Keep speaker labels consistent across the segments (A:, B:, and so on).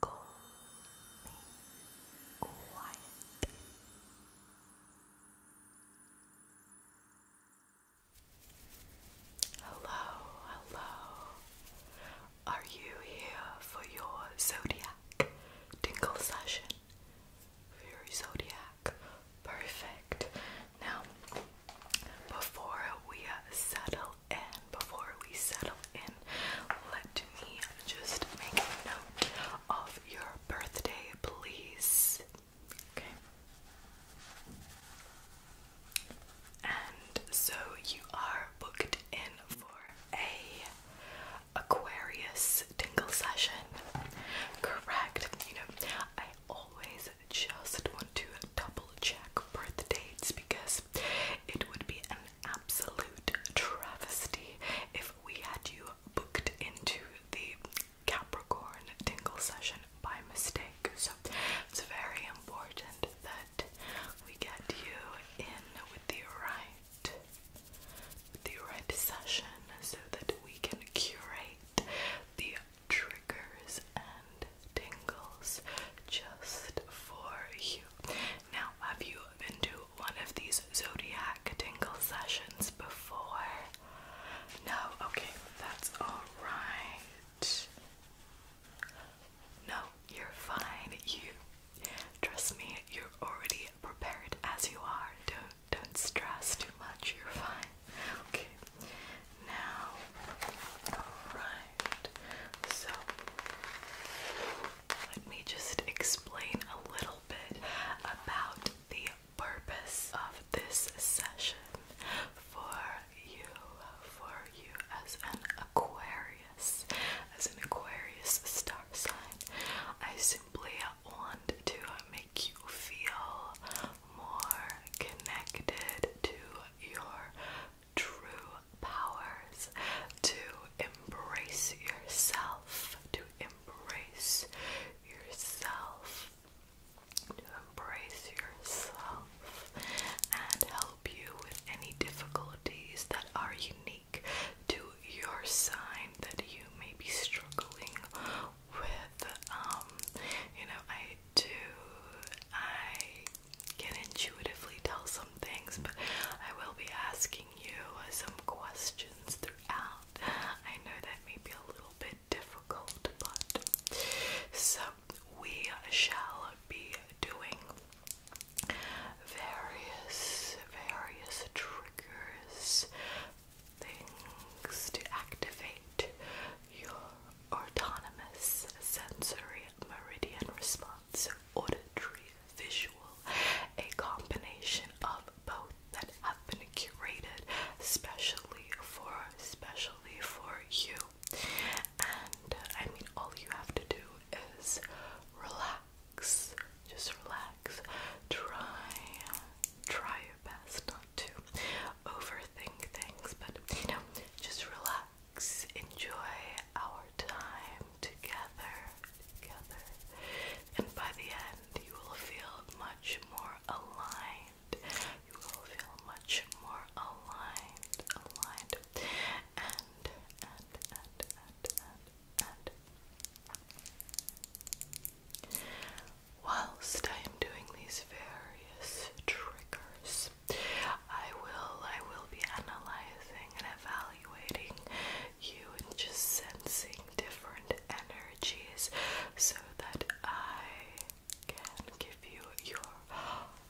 A: Call me Hello, hello. Are you here for your zodiac tingle session? your zodiac? Perfect. Now, before we settle settle before we settle in, let me just make note of your birthday, please. Okay. And so you are booked in for a Aquarius tingle session. Correct. You know, I always just want to double check birth dates because it would be absolute travesty if we had you booked into the Capricorn tingle session by mistake. So it's very important that we get you in with the right the right session so that we can curate the triggers and tingles just for you. Now, have you been to one of these zodiac tingle sessions before? No? Okay, that's alright. No, you're fine. You trust me, you're already prepared as you are. Don't don't stress too much, you're fine. Okay. Now alright. So, let me just explain a little bit about the purpose of this session for you, for you as an Aquarius, as an Aquarius star sign. I simply want to make you feel more connected to your true powers, to embrace yourself, to embrace yourself, to embrace yourself, and help you with any difficulties that are unique to your sign that you may be struggling with. Um, you know, I do, I can intuitively tell some things, but I will be asking you some questions throughout. I know that may be a little bit difficult, but so we shall be doing various, various triggers, things to activate your autonomous sensory meridian response auditory, visual, a combination of both that have been curated specially for specially for you. And uh, I mean all you have to do is relax. Just relax. Try try your best not to overthink things, but you know, just relax enjoy our time together, together, and by the end, you will feel much more aligned. You will feel much more aligned, aligned, and, and, and, and, and. Whilst I am doing these various triggers, I will I will be analyzing and evaluating you and just sensing different energies so that I can give you your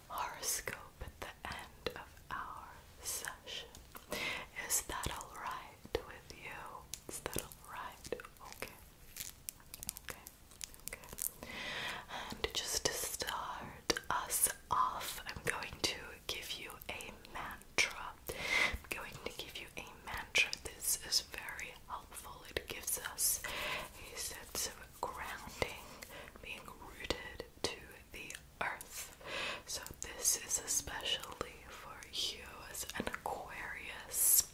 A: horoscope at the end of our session. Is that alright with you? Is that alright? Okay. Okay. Okay. And just to start us off, I'm going to give you a mantra. I'm going to give you a mantra. This is very helpful. It gives us a sense of grounding, being rooted to the earth. So, this is especially for you as an Aquarius.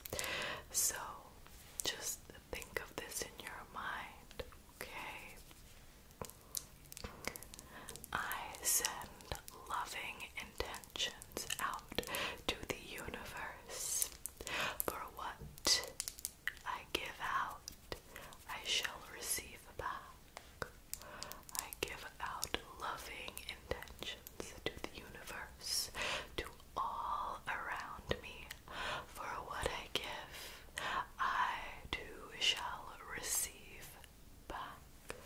A: So, just think of this in your mind, okay? I send loving intentions out to the universe. For what I give out, I shall receive back. I give out loving intentions to the universe, to all around me. For what I give, I too shall receive back,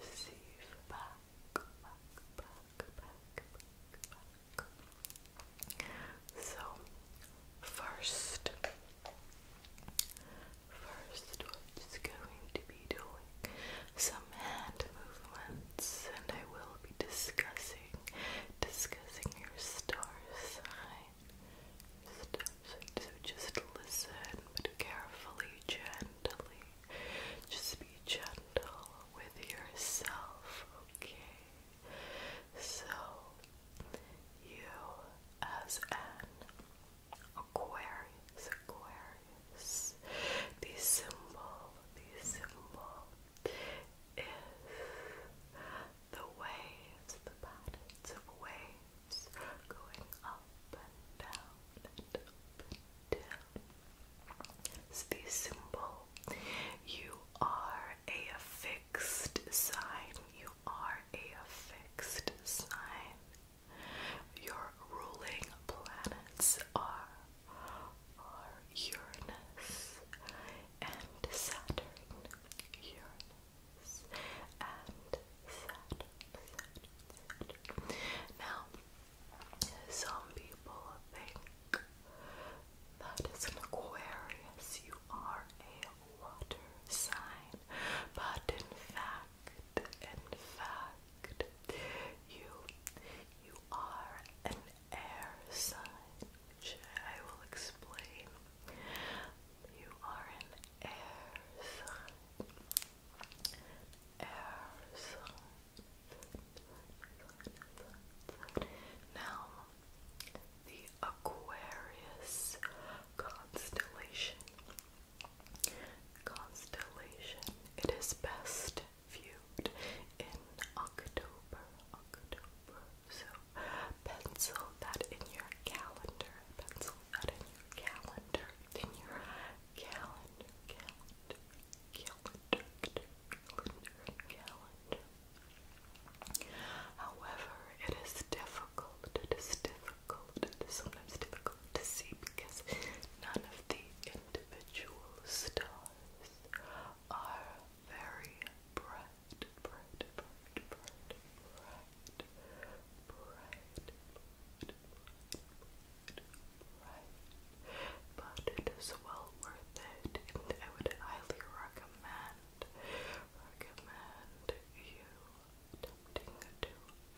A: receive back, So, first, first, going to be doing some hand movements, and I will be discussing, discussing your star sign. Just, so just listen, carefully, gently. Just be gentle with yourself, okay? So, you as an Aquarius, Aquarius, the symbol, the symbol is the waves, the patterns of waves going up and down and up and down. It's the symbol. You are a fixed sign. You are a fixed sign. Your ruling planets are are Uranus and Saturn. Uranus now, some people think that as an Aquarius you are a water sign, but in fact, in fact, you you are an air sign, which I will explain you are an air sign. Air sign. Now, the Aquarius constellation. Constellation. It is best viewed in October. October. So pencil that in your calendar. Pencil that in your calendar. In your calendar. Calendar. Calendar. Calendar. Calendar. However, it is difficult. It is difficult. sometimes difficult to see because none of the individual stars are very bright bright, But it is well worth it, and I would highly recommend, recommend you attempting to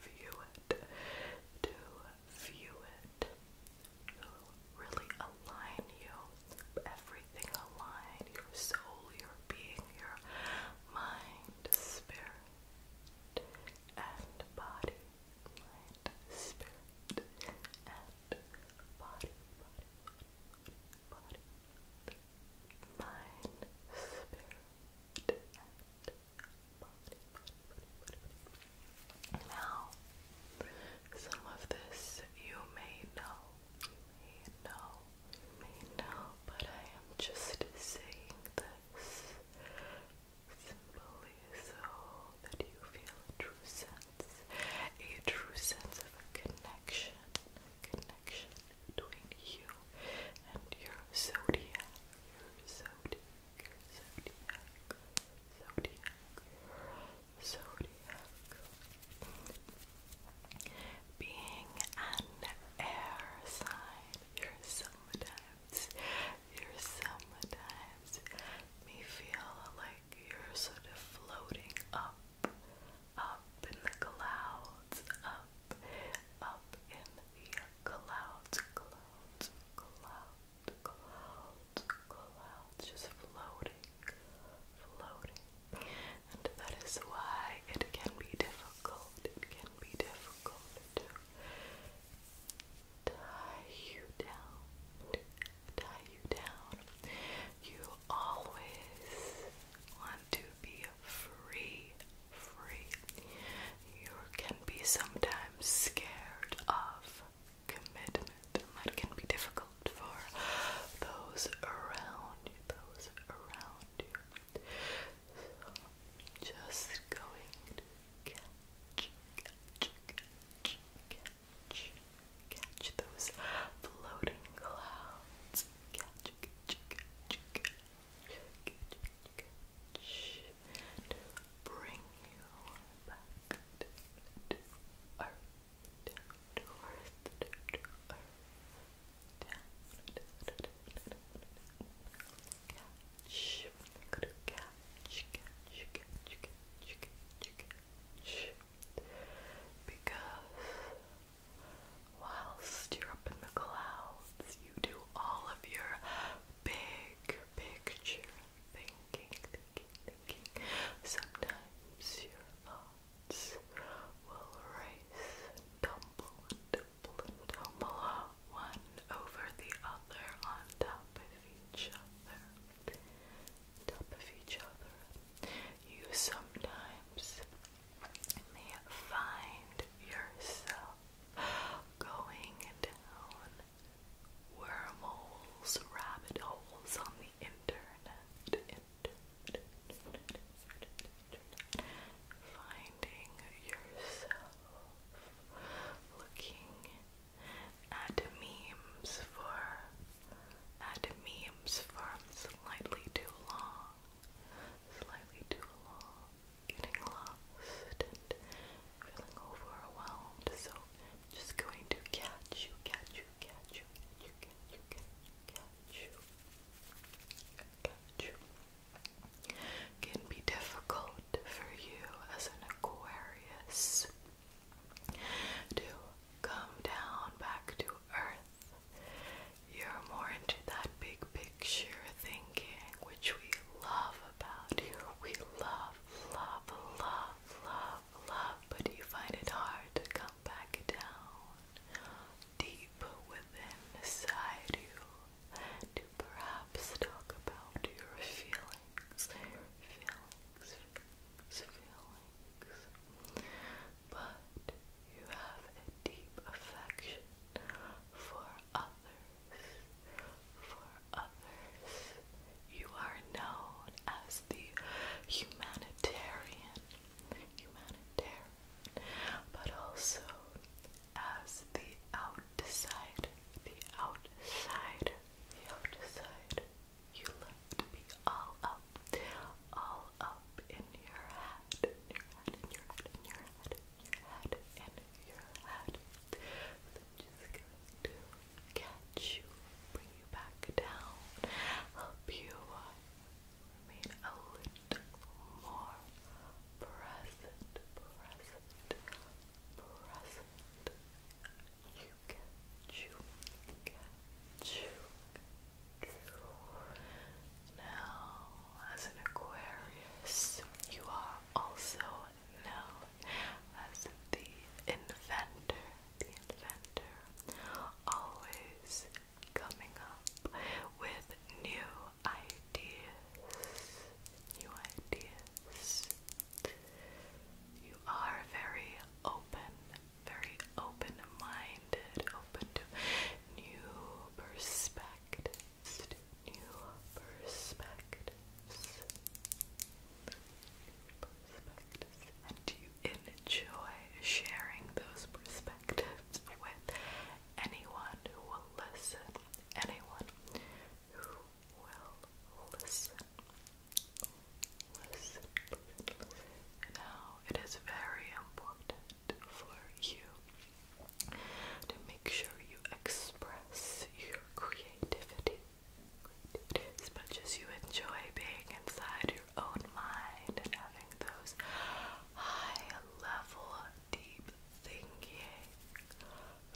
A: view it, to view it. it really align you, everything align, your soul, your being your mind, spirit, and body. Mind, spirit, and body, body, Mind, spirit, and body, Now, some of this you may know, you may know I know, but I am just saying this simply so that you feel a true sense, a true sense of a connection, connection between you and your zodiac, your zodiac, zodiac, zodiac, zodiac. Being an air sign, your sometimes, your sometimes may feel like you're sort of floating up, up in the clouds, up, up in the clouds, clouds, clouds, clouds, clouds, just floating, floating and that is why it can be difficult, it can be difficult to tie you down, tie you down. You always want to be free, free. You can be sometimes scared of commitment, that can be difficult for those around you, those around dear. just going to catch, catch, catch, those floating clouds. to bring you back to because whilst you're up in the clouds, you do all of your big picture thinking, Sometimes you're alone will race, tumble tumble tumble, one over the other on top of each other. Top of each other. You sometimes may find yourself going down wormholes, rabbit holes on the internet, Finding yourself looking at memes for at memes for slightly too long, slightly too long, getting lost and feeling overwhelmed. So just going to catch you, catch you, catch you, you, you, you, catch you. Got Can be difficult for you as an Aquarius to come down back to earth. You're more into that big picture thinking, which we love about you. We love, love, love, love, love, but you find it hard to come back down deep within inside you to perhaps talk about your feelings, feelings, feelings, But you have a deep affection for others, for others. You are known as the humanitarian, humanitarian but also as the outside, the outside, the outside. You love to be all up, all up in your head, in your head, in your head, in your head, in your head, just to catch you, bring you back down, help you remain a little more present, present, present. You catch, you you Now, as an Aquarius, you are also known as the inventor, the inventor, always coming up with new ideas. New ideas. You are very open, very open minded, open to new perspectives, new perspectives, perspectives, and you enjoy sharing those perspectives perspectives with anyone who will listen. Anyone who will listen. Now, it is very important for you to make sure you express your creativity as much as you enjoy being inside own mind and having those high level, deep thinking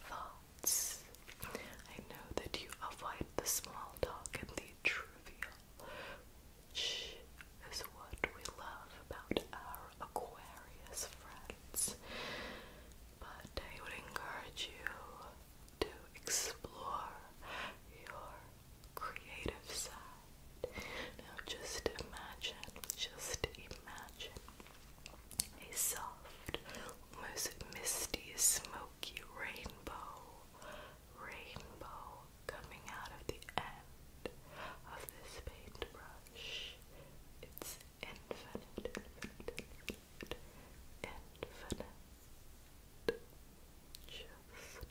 A: thoughts. I know that you avoid the small talk and the trivial, which is what we love about our Aquarius friends. But I would encourage you to explore your creative side. Now just imagine, just imagine a soft, almost misty, smoky rainbow, rainbow coming out of the end of this paintbrush. It's infinite, infinite, infinite, infinite. Just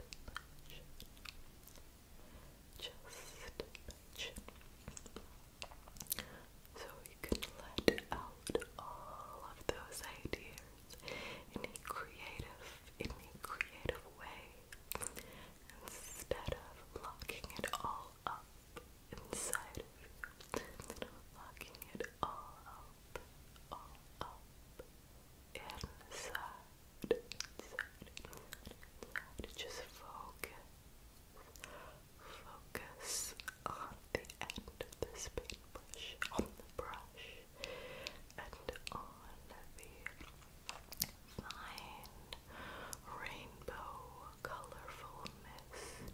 A: just so you can let out all of those ideas in a creative, in a creative way instead of locking it all up inside of you locking it all up, all up inside inside, inside, Just focus, focus on the end of this paintbrush, on the brush, and on the fine rainbow colorful mist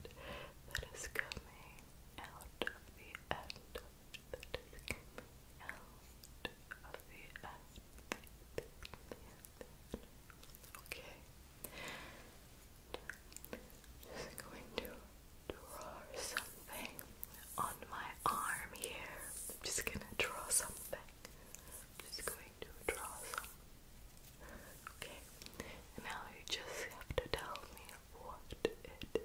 A: that is coming out of the end of the out of Okay. Just going to draw something on my arm here. just gonna draw something. just going to draw some. Okay. Now you just have to tell me what it is.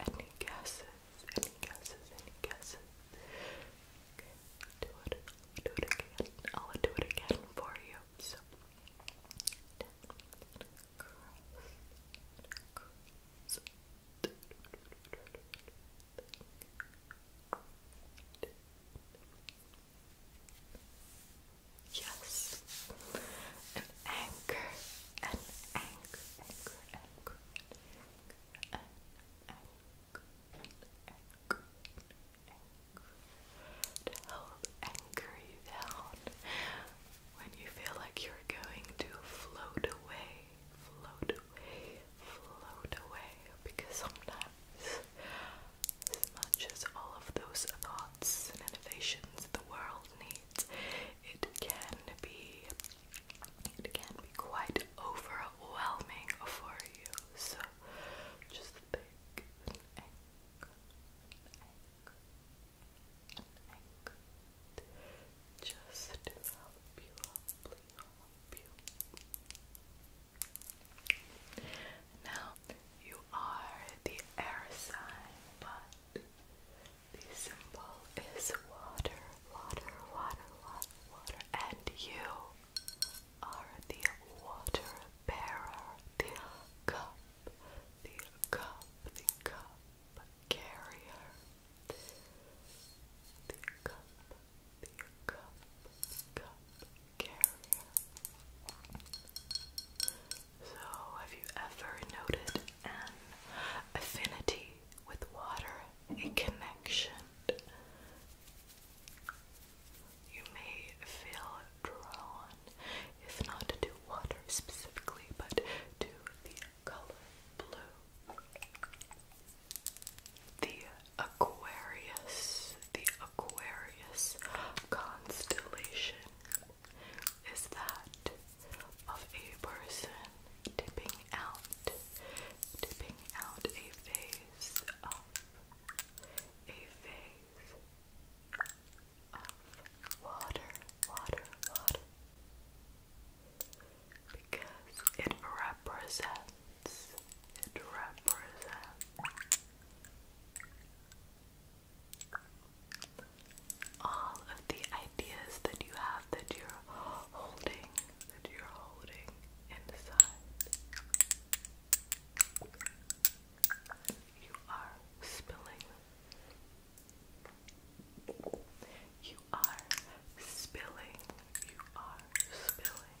A: Any guesses? Any guesses? Any guesses? Okay, do it. do it again. I'll do it again for you. So, Yes. An anchor. An anchor. Anchor. Anchor. An help anchor you down when you feel like you're going to float away. Float away. Float away. Because sometimes Smudges all of those thoughts and innovations the world needs. It can be it can be quite overwhelming for you. So just think Now you are the air sign, but the symbol is water, water, water, water, water, and you are the water bearer, the cup, the cup, the cup carrier, the cup, the cup, cup so, have you ever noted an affinity with water, a connection? You may feel drawn, if not to water specifically, but to the color blue. The Aquarius. The Aquarius constellation is that of a person dipping out, dipping out a phase of, a phase of water, water, water, because it represents, it represents all of the ideas that you have that you're holding, that you're holding inside. You are spilling You are spilling. You are spilling.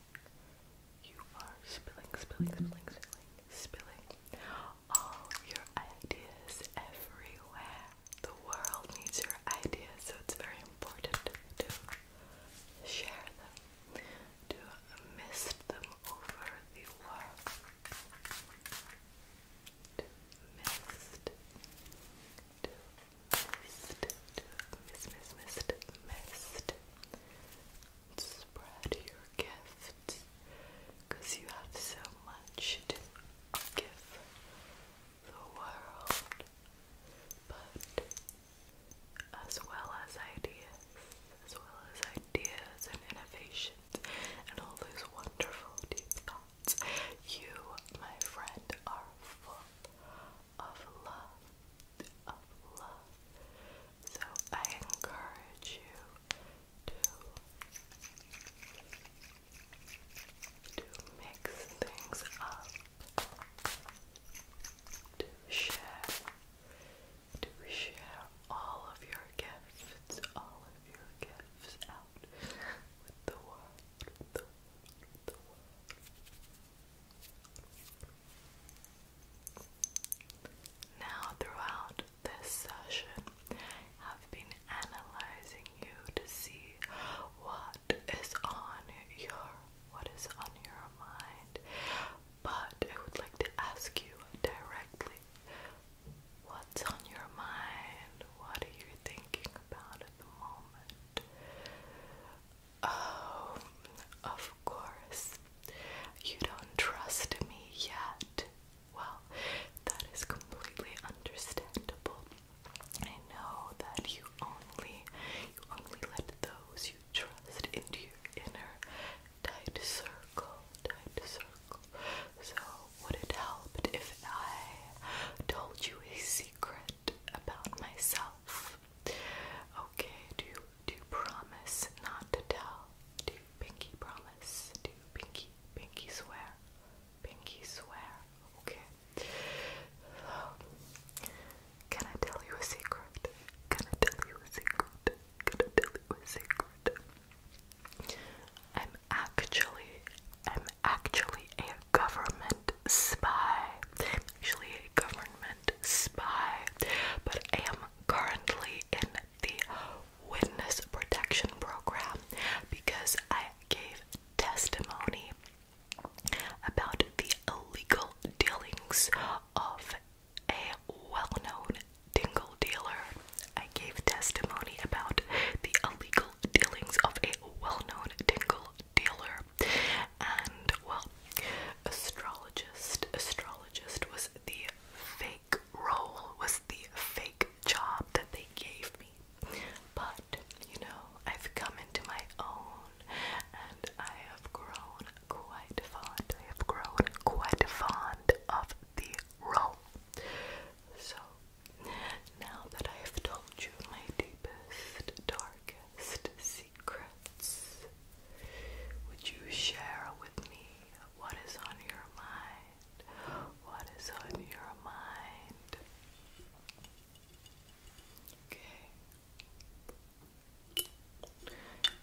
A: You are spilling, spilling, spilling, spilling, spilling all your ideas everywhere. The world needs your ideas, so it's very important to share them, to mist them over the world. To mist, to mist, to mist, mist, mist, mist spread your gifts because you have so much to give the world, but as well as ideas, as well as ideas and innovations and all those wonderful deep thoughts, you, my friend, are full of love, of love, so I encourage you to to mix things up, to share, to share all of your gifts, all of your gifts out with the world, now, throughout this session, I've been analyzing you to see what is on your what is on your mind, but I would like to ask you directly what's on your mind? What are you thinking about at the moment? Um, of course, you don't trust me yet. Well, that is completely understandable. I know that you only you only let those you trust into your inner tight circle, tight circle. So would it help if I told you a secret about myself? Okay, do to promise not to tell, to pinky promise, to pinky, pinky swear, pinky swear, okay? Can I tell you a secret? Can I tell you a secret? Can I tell you a secret? I'm actually, I'm actually a government spy. actually a government spy, but I am currently in the witness protection program because I gave testimony about the illegal dealings of a well known dingle dealer. I gave testimony about the illegal dealings of a well known dingle dealer. And well, astrologist astrologist was the fake role was the fake job that they gave me but you know I've come into my own and I have grown quite fond I have grown quite fond of the role so now that I have told you my deepest darkest secrets? Would you share with me what is on your mind? What is on your mind? Okay.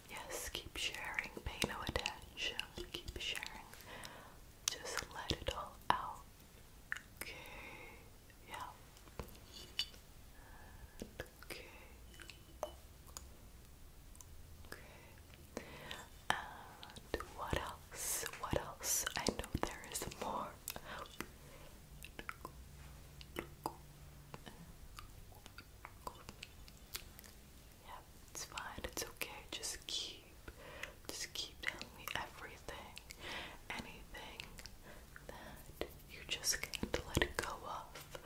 A: Yes, keep sharing. Pay no attention. Keep sharing. Just let it all out. Okay. Yeah. Okay. Okay. And what else? What else? I know there is more. Yeah, it's fine. It's okay. Just keep, just keep telling me everything, anything that you just can't let go of,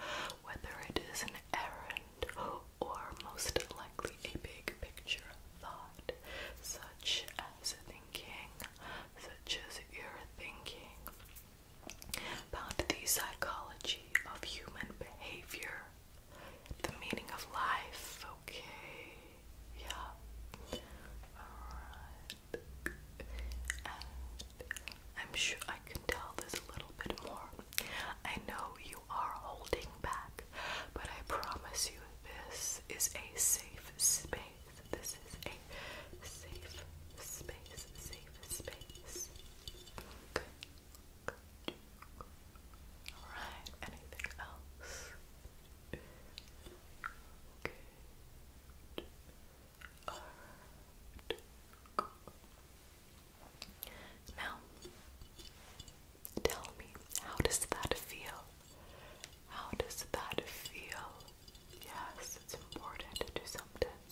A: whether it is an errand or most likely a big picture thought, such as thinking, such as you're thinking about the psychology of human behavior, the meaning of life, okay? Yeah. Alright. And I'm sure I can tell this a little bit more. I know you are holding back, but I promise you this is a safe space. This is a safe space, safe space. Good. Good. Alright, anything else? art. Now, tell me, how does that feel? How does that feel? Yes, it's important to sometimes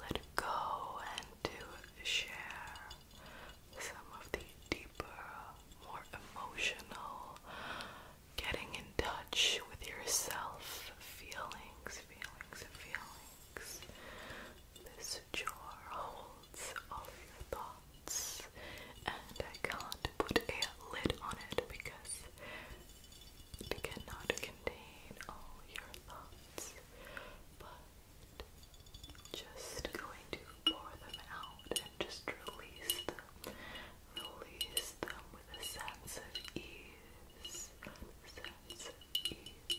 A: let go and to share some of the deeper, more emotional, getting in touch with yourself feelings, feelings, feelings. This jar holds all your thoughts, and I can't put a lid on it because it cannot contain all your thoughts. But just going to pour them out and just release them. Release them with a sense of ease. Sense of ease.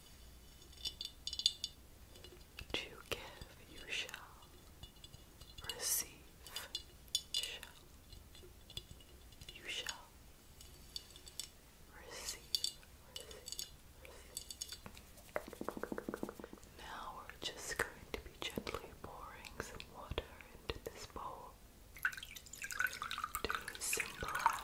A: to give you shall receive shall you shall receive, receive, receive. Now we're just going to be gently pouring some water into this bowl to symbolize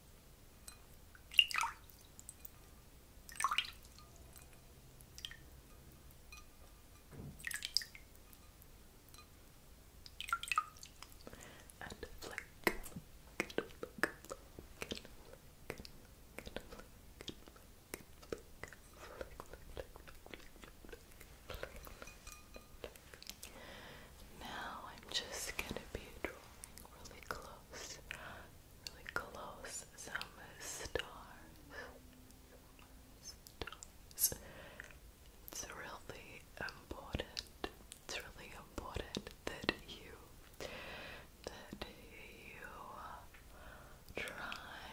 A: And flick, flick, flick, flick, flick, flick, flick, now I'm just gonna be drawing really close, really close, some stars, stars. It's really important, it's really important that you, that you uh, try,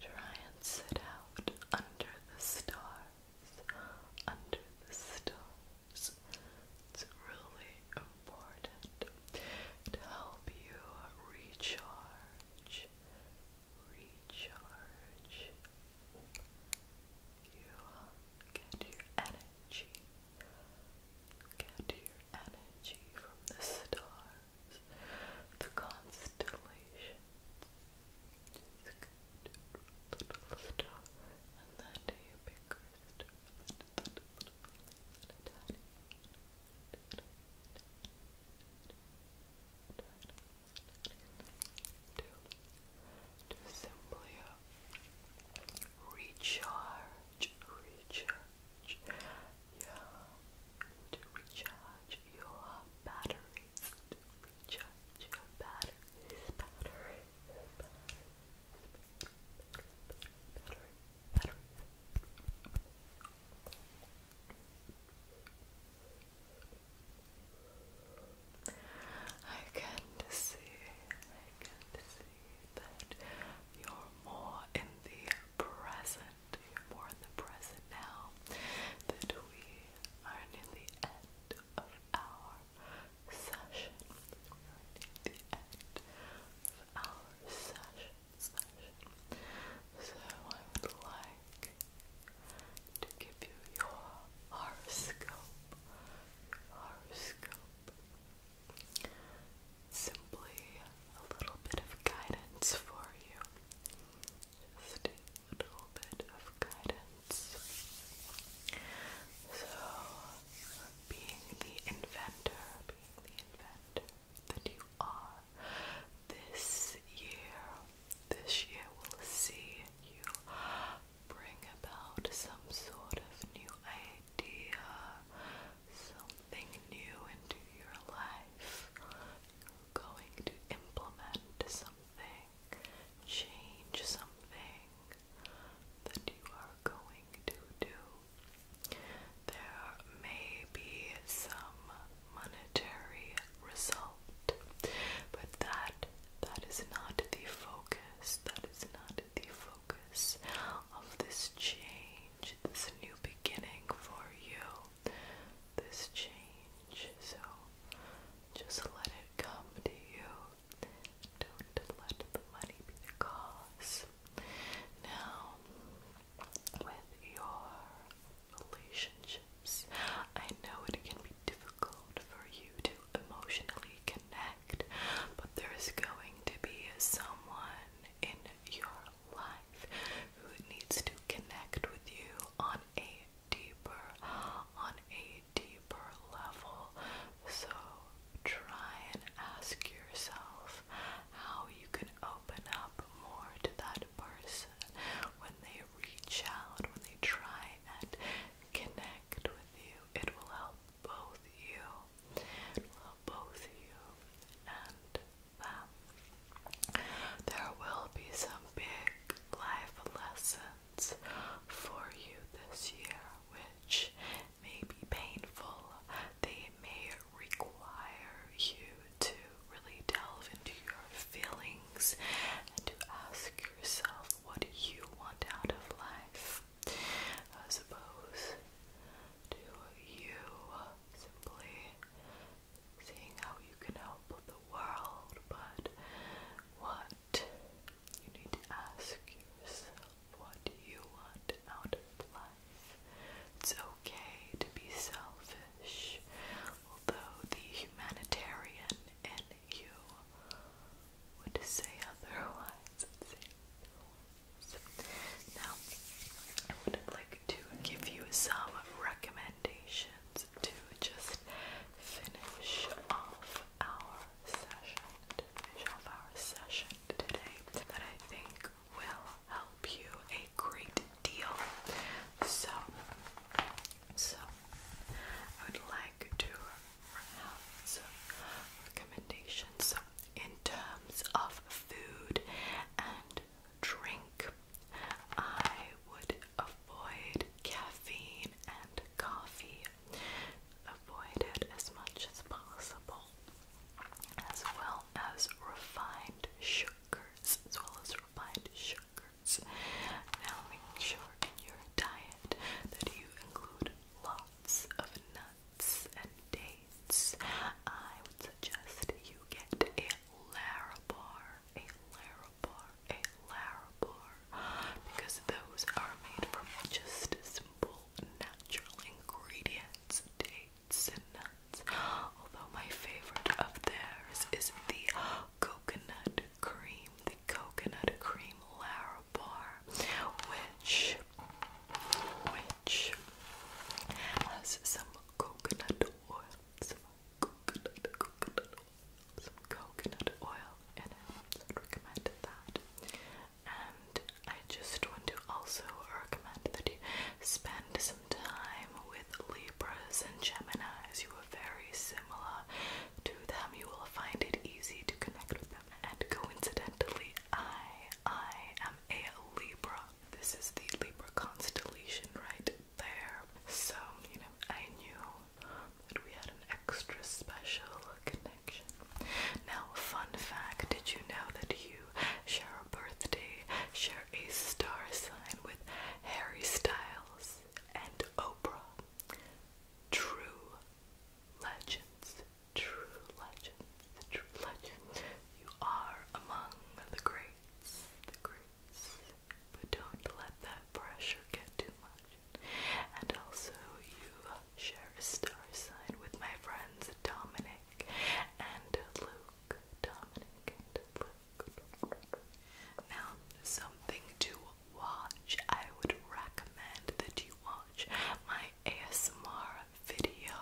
A: try and sit out under the stars, under the stars. It's really important to help you recharge, recharge. You get your energy, get your energy from the stars, the constellations. little star and then do bigger to simply recharge, recharge, yeah, to recharge your batteries, to recharge your batteries, batteries, batteries better, I can see, I can see that you're more in the present, you're more in the present now, that we are near the end of our so I would like to give you your horoscope. horoscope. Simply a little bit of guidance for you. Just a little bit of guidance. So, being the inventor, being the inventor that you are, this year, this year will see you bring about some sort of new idea, something new into your life. going to implement something, change something, that you are going to do. There may be some monetary result, but that that is not the focus. That is not the focus of this change, this new beginning for you. This change. So just let it come to you. Don't let the money be the cause. Now, with your relationships, I know it can be difficult for you to emotionally connect, but there's going to be someone in your life who needs to connect with you on a deeper, on a deeper level. So try and ask yourself how you can open up more to that person when they reach out, when they try and connect with you. It will help both you. help both you and them. There will be some big life lessons for you this year which may be painful. They may require you to really delve into your feelings and to ask yourself what you want out of life. I suppose. Do you simply seeing how you can help the world, but what you need to ask yourself what you want out of life. It's okay to be selfish, although the humanitarian in you would say otherwise. Would say Now, I would like to give you some recommendations to just finish off our session, visual power session today that I think will help you a great deal. So, so I would like to have some recommendations in terms of food and drink. I would avoid caffeine and coffee Avoid it as much as possible, as well as refined sugars, as well as refined sugars. Now make sure in your diet that you include lots of nuts and dates. I would suggest you get a Larabar, a Larabar, a Larabar because those are made from just simple natural ingredients, dates and nuts. Although my favorite of theirs is the coconut cream, the coconut cream Larabar, which which has some coconut oil, some coconut, coconut oil, some coconut oil and I would recommend that. And I just want to also recommend that you spend some time with Libras and Geminis. You are very similar to them. You will find it easy to connect with them. And coincidentally, I I am a Libra. This is the Libra constellation right there. So, you know, I knew that we had an extra special connection. Now, fun fact did you know that you share a birthday, share a star sign with Harry Styles and Oprah? True legends, true legends, true legends. You are among the greats, the greats. But don't let that pressure get too much. And also, you share a star sign with my friends Dominic and Luke. Dominic Now, something to watch. I would recommend that you watch my ASMR video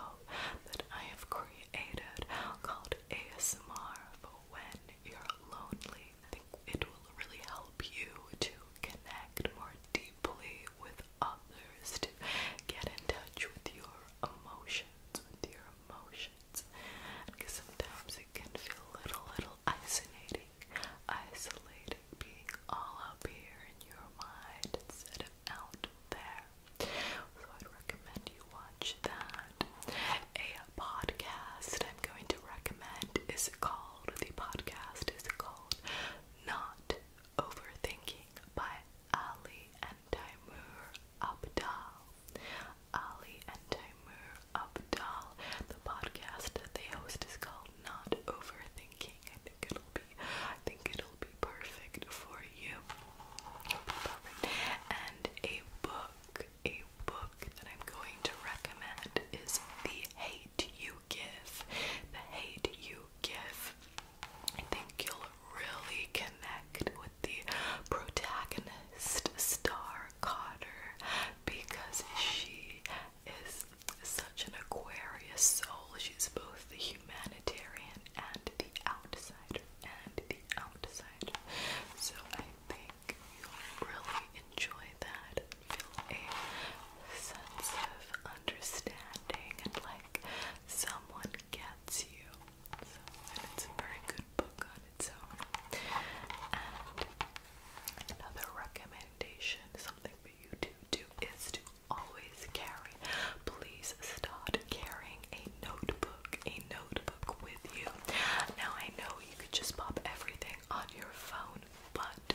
A: that I have created called ASMR for when you're lonely. I think it will really help help you to connect more deeply with others, to get in touch with your emotions, with your emotions. Because sometimes it can feel a little, little isolating, isolating, being all up here in your mind instead of out there. So I'd recommend you watch that. A podcast I'm going to recommend is called the podcast is called Not Overthinking by Ali and Timur Abdal. Ali and Timur Abdal. The podcast that they host is called Not Overthinking. I think it'll be I think it'll be perfect for you. And a book, a book that I'm going to recommend is The Hate the hate you give. I think you'll really connect with the protagonist, Star Carter, because she is such an Aquarius soul. She's both the humanitarian and the outsider, and the outsider. So I think you'll really enjoy that feel a sense of understanding and like someone gets you. and it's a very good book on its own. And another recommendation, something for you to do, is to always carry. Please start carrying a notebook, a notebook with you. Now I know you could just pop everything on your phone, but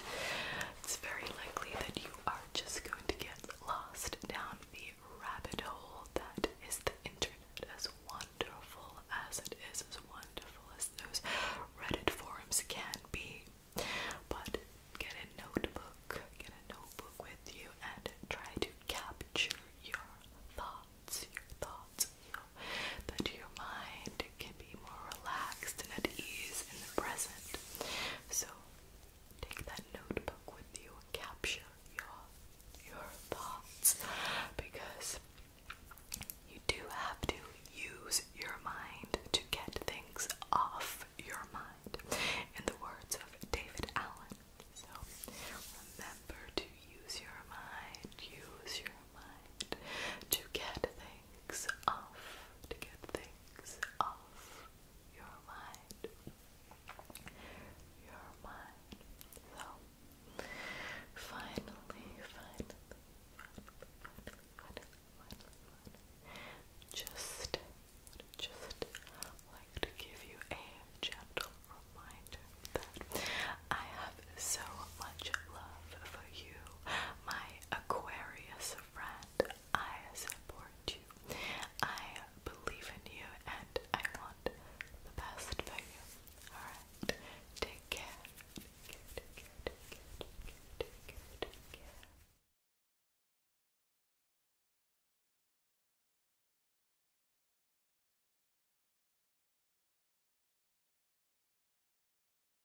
A: it's very likely that you are just going to get lost down the rabbit hole that is the internet. As wonderful as it is, as wonderful as those Reddit forums can be, but get a notebook, get a notebook with you, and try to capture your thoughts, your thoughts, you your mind can be more relaxed and at ease in the present. So take that notebook with you capture your your thoughts because you do have to use your mind to get things off your mind. In the words of David Allen. So remember to use your mind, use your to get things off, to get things off your mind. Your mind. So, finally, finally, just, just like to give you a gentle reminder that I have so much love for you, my Aquarius friend, I support you. I believe in you and I want the best for you. Alright, take care. Take care, take care, take care, take care, take care.